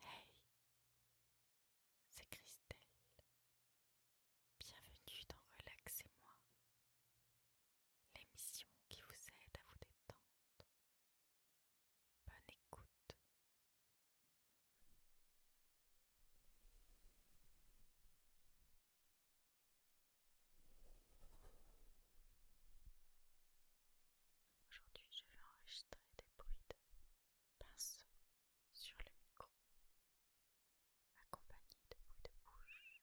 Hey, c'est Christelle. Bienvenue dans Relaxez-moi, l'émission qui vous aide à vous détendre. Bonne écoute. Aujourd'hui, je vais enregistrer des bruits de pinceau sur le micro, accompagnés de bruits de bouche.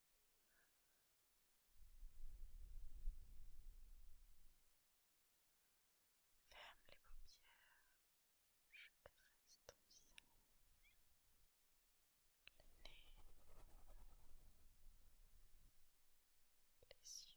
Ferme les paupières, je caresse ton visage, le nez, les yeux.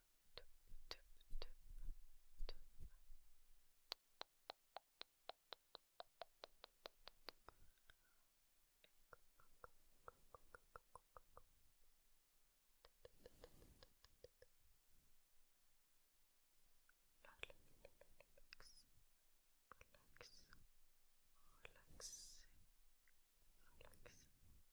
tip, tip, tip, tip. Relax, relax, relax, relax, relax.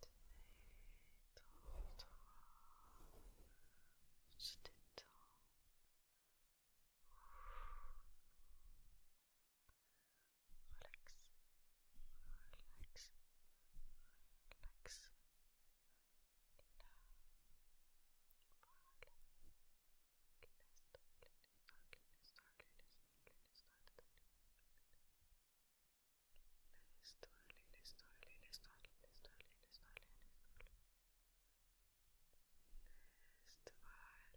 détends-toi, Relax, relax, relax slowly, slowly, slowly, slowly, slowly, slowly. Slowly. Burning.